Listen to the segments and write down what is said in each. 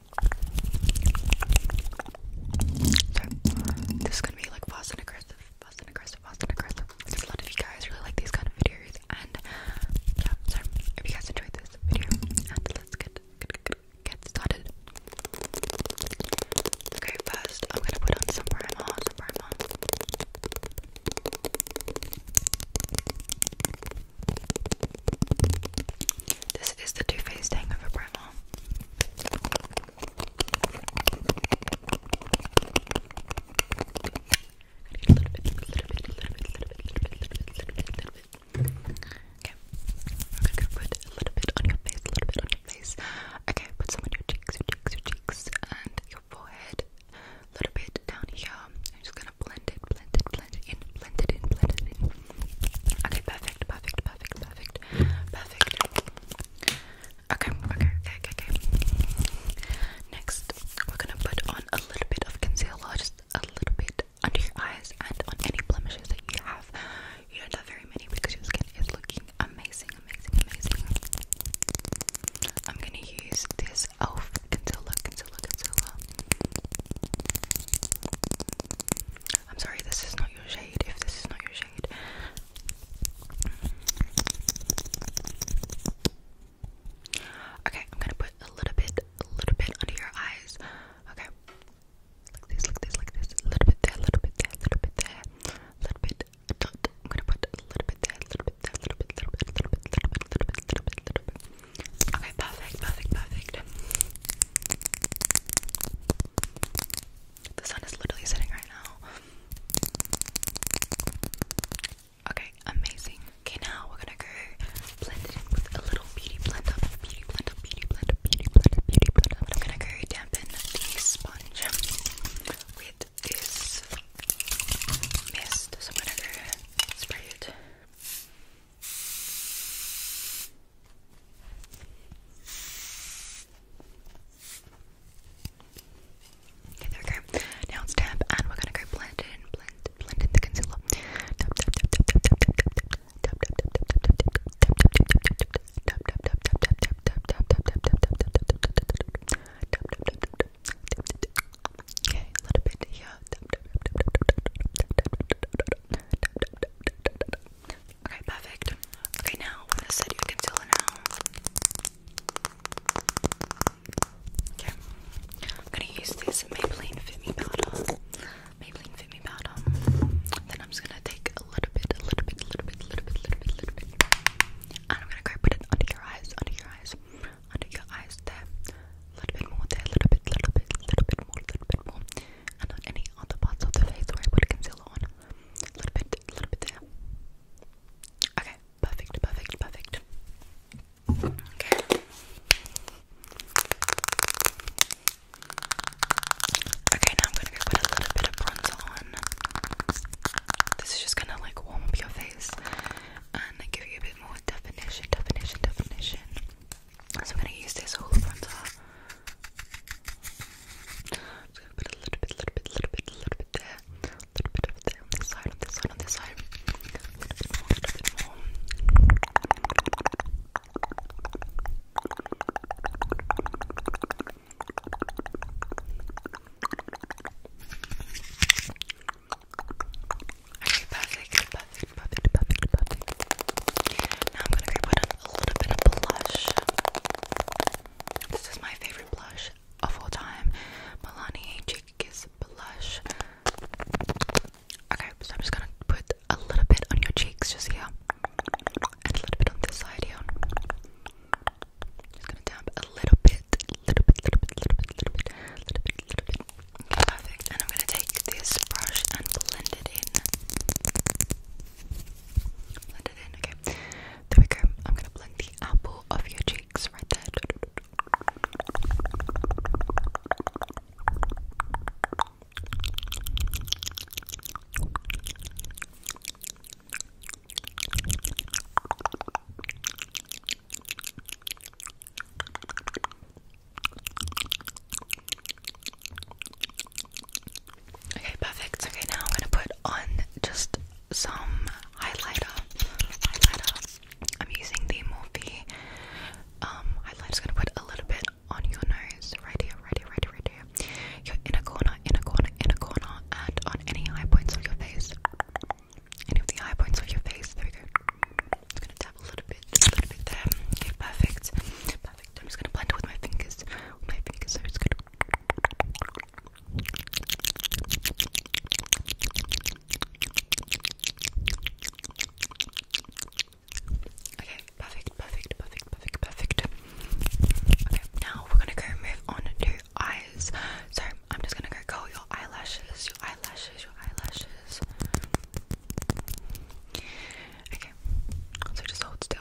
this is gonna be like fast and aggressive, fast and aggressive, fast and aggressive. Because a lot of you guys really like these kind of videos, and yeah, so if you guys enjoyed this video, and let's get get, started. Okay, first I'm gonna put on some primer. This is the Too Faced Hangover Primer. Okay, we're gonna put a little bit on your face, a little bit on your face. Okay, put some on your cheeks, your cheeks, your cheeks, and your forehead. A little bit down here. I'm just gonna blend it, blend it, blend it in, blend it in, blend it in. Okay, perfect, perfect, perfect, perfect, perfect. Okay, okay, okay, okay, okay. Next, we're gonna put on a little bit of concealer, just a little bit under your eyes and on any blemishes that you have. You don't have very many because your skin is looking amazing, amazing, amazing. I'm gonna use this elf concealer, concealer, concealer. I'm sorry, this is not your shade. If this is not your shade, okay, I'm gonna put a little bit, a little bit under your eyes. Okay, like this, like this, like this. A little bit there, a little bit there, a little bit there, a little bit. I'm gonna put a little bit there, little bit there, little bit, little bit, little bit, little bit, little bit, little bit. Okay, perfect, perfect, perfect. The sun is literally setting right now. Okay, amazing. Okay, now we're gonna go blend it with a little beauty blend beauty blend beauty blend beauty blend beauty blend I'm gonna go dampen the sponge with this mist. So I'm gonna go spray it. Okay, there we go. Now tap, and we're gonna go blend in, blend, blend in the concealer. Tap, tap, tap, tap, tap, tap, tap, tap, tap, tap, tap, tap, tap, tap, Okay, a little bit here. Okay, perfect. Okay, now with this set, you can seal it now. Okay, I'm gonna use this Maybelline Fit Me powder. Maybelline Fit Me powder. Then I'm just gonna take a little bit, a little bit, a little bit, a little bit, a little bit, a little bit, and I'm gonna go put it under your eyes, under your eyes, under your eyes. There, a little bit more. There, a little bit, little bit, little bit more, a little bit more, and on any other parts of the face where I put concealer on a little bit, a little bit there. Okay, perfect, perfect, perfect. Okay. Okay, now I'm gonna put a little bit of bronzer on. This is just gonna like warm up your face and give you a bit more definition, definition, definition. So I'm gonna use this whole bronzer just gonna a little bit, little bit, little bit, little bit there, a little bit over there on this side, on this side, on this side, Okay, perfect, perfect, perfect, perfect, perfect. Now I'm gonna grab one a little bit of blush. This is my favorite blush of all time. Milani Cheek Kiss Blush. Okay, so I'm just gonna put a little bit on your cheeks just here. And a little bit on this side here. Just gonna damp a little bit, little bit, little bit, little bit, little bit, little bit, perfect. And I'm gonna take this brush and blend it in. Blend it in, okay. There we go. I'm gonna blend the apple of your cheeks right there. Okay, perfect. Okay, now I'm gonna put on just some highlighter. Highlighter. I'm using the Morphe um highlighter. Just gonna put a little bit on your nose, right here, right here, right here, right here. Your inner corner, inner corner, inner corner, and on any high points of your face. Any of the high points of your face. There we go. Just gonna tap a little bit, a little bit there. Okay, perfect. Perfect. I'm just gonna blend it with my fingers. With my fingers, so it's good. Okay, perfect, perfect, perfect, perfect, perfect. Okay, now we're gonna go move on to eyes. So I'm just gonna go curl your eyelashes, your eyelashes, your eyelashes. Okay, so just hold still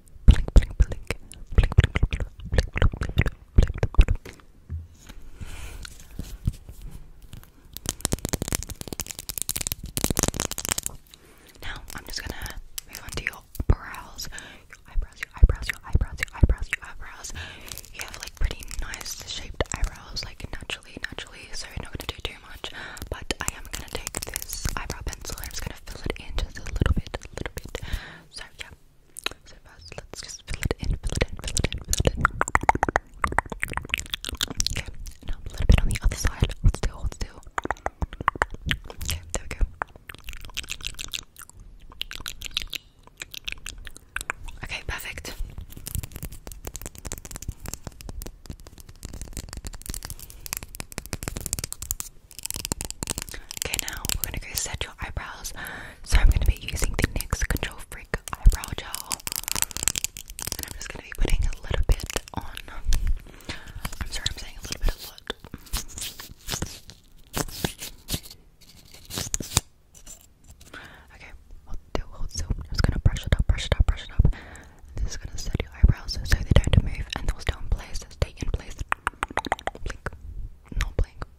Now I'm just gonna move on to your brows, your eyebrows, your eyebrows, your eyebrows, your eyebrows, your eyebrows. You have like pretty nice shaped eyebrows, like naturally, naturally. So not gonna do too much. But I am gonna take this eyebrow pencil and I'm just gonna fill it in just a little bit, a little bit. So yeah, so first, let's just fill it in, fill it in, fill it in, fill it in. Okay, now a little bit on the other side. still, still. Okay, there we go. Okay, perfect. Okay, now we're gonna go set your eyebrows. So I'm gonna be using the NYX Control Freak eyebrow gel, I'm just gonna be putting a little bit on. I'm sorry, I'm saying a little bit of what. Okay, we'll do hold so i just gonna brush it up, brush it up, brush it up. this is gonna set your eyebrows so they don't move and they'll stay in place, stay in place. Blink, not blink,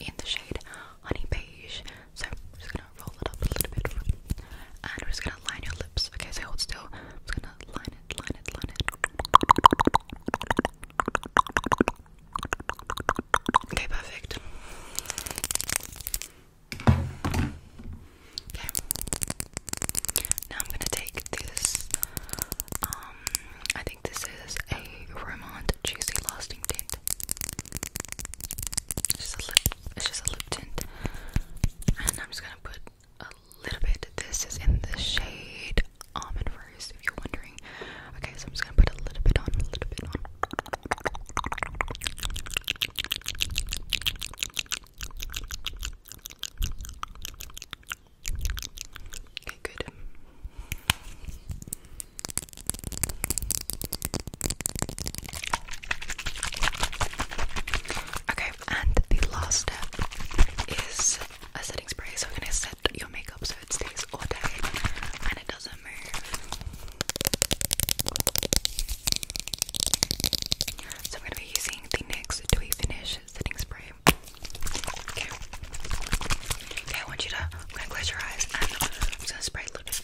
in the shade Honey Beige. So I'm just gonna roll it up a little bit, and we're just gonna line your lips. Okay, so hold still. I'm just gonna line it, line it, line it. Okay, perfect. Okay. Now I'm gonna take this. Um, I think this is a Romant Juicy Lasting Tint it's just a little it's just a lip tint. And I'm just gonna put a little bit. This is in the shade almond first, if you're wondering. Okay, so I'm just gonna put a little bit on, a little bit on. Okay, good. Okay, and the last step is a setting spray. So we're gonna set your makeup so it stays all day and it doesn't move. So we're gonna be using the NYX Dewy Finish setting spray. Okay. Okay, I want you to. I'm gonna close your eyes I'm gonna spray a little bit.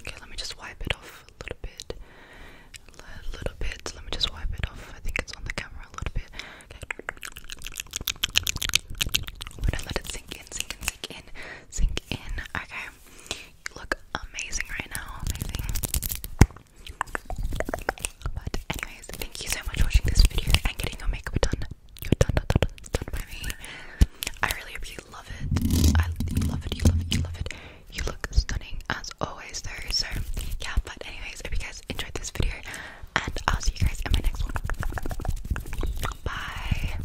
Okay, let me just wipe it off a little bit. A little bit. Let me just wipe it off. I think it's on the camera a little bit. Okay. gonna let it sink in, sink in, sink in, sink in. Okay. You look amazing right now, amazing. But anyways, thank you so much for watching this video and getting your makeup done. You're done, done, done, done by me. I really hope you love it. I love it, you love it, you love it. You look stunning as always though. So yeah, but anyways, hope you guys enjoyed this video and I'll see you guys in my next one. Bye.